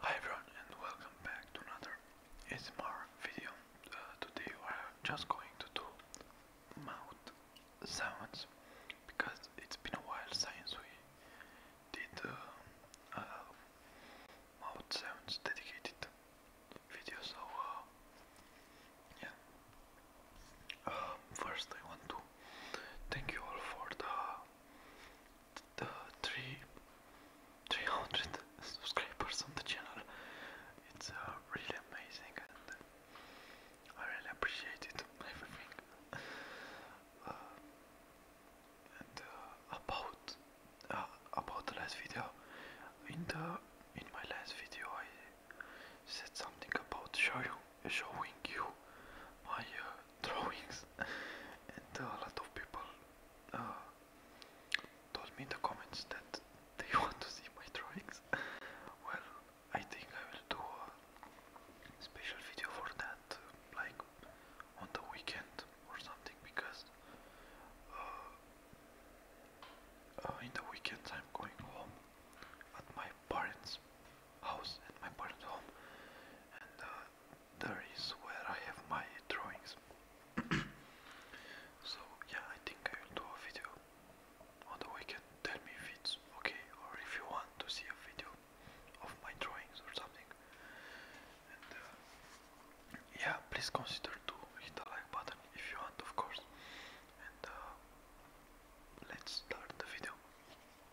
Hi everyone and welcome back to another ASMR video. Uh, today we are just going to do mouth sounds because it's been a while since we did uh, uh, mouth sounds dedicated video so yeah. first I want to thank you all for the uh, three, 300 subscribers on the channel. It's uh, really amazing and uh, I really appreciate it, everything. Uh, and about about the last video, in the in my last video I said something about showing showing you my drawings and uh, a lot of people uh, told me in the comments that they want to see my drawings well I think I will do a special video for that like on the weekend or something because uh, in the weekend I'm going home at my parents house at my parents' home, and uh, there is where I have my drawings. so yeah, I think I will do a video on the weekend. Tell me if it's okay or if you want to see a video of my drawings or something. And uh, yeah, please consider to hit the like button if you want, of course. And uh, let's start the video.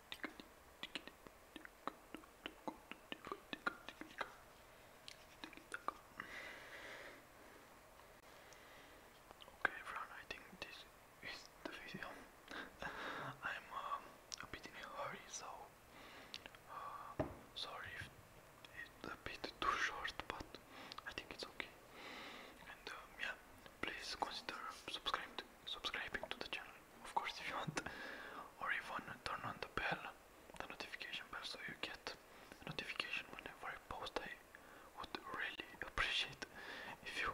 Okay, everyone, I think this is the video. I'm um, a bit in a hurry, so uh, sorry if it's a bit too short, but I think it's okay. And um, yeah, please consider subscribing subscribing to the channel, of course, if you want, or even turn on the bell, the notification bell, so you get notification whenever I post. I would really appreciate if you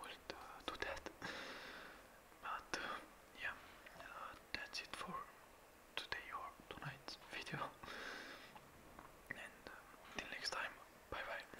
would uh, do that. But uh, yeah, uh, that's it for today or tonight's video. and uh, next time, bye bye.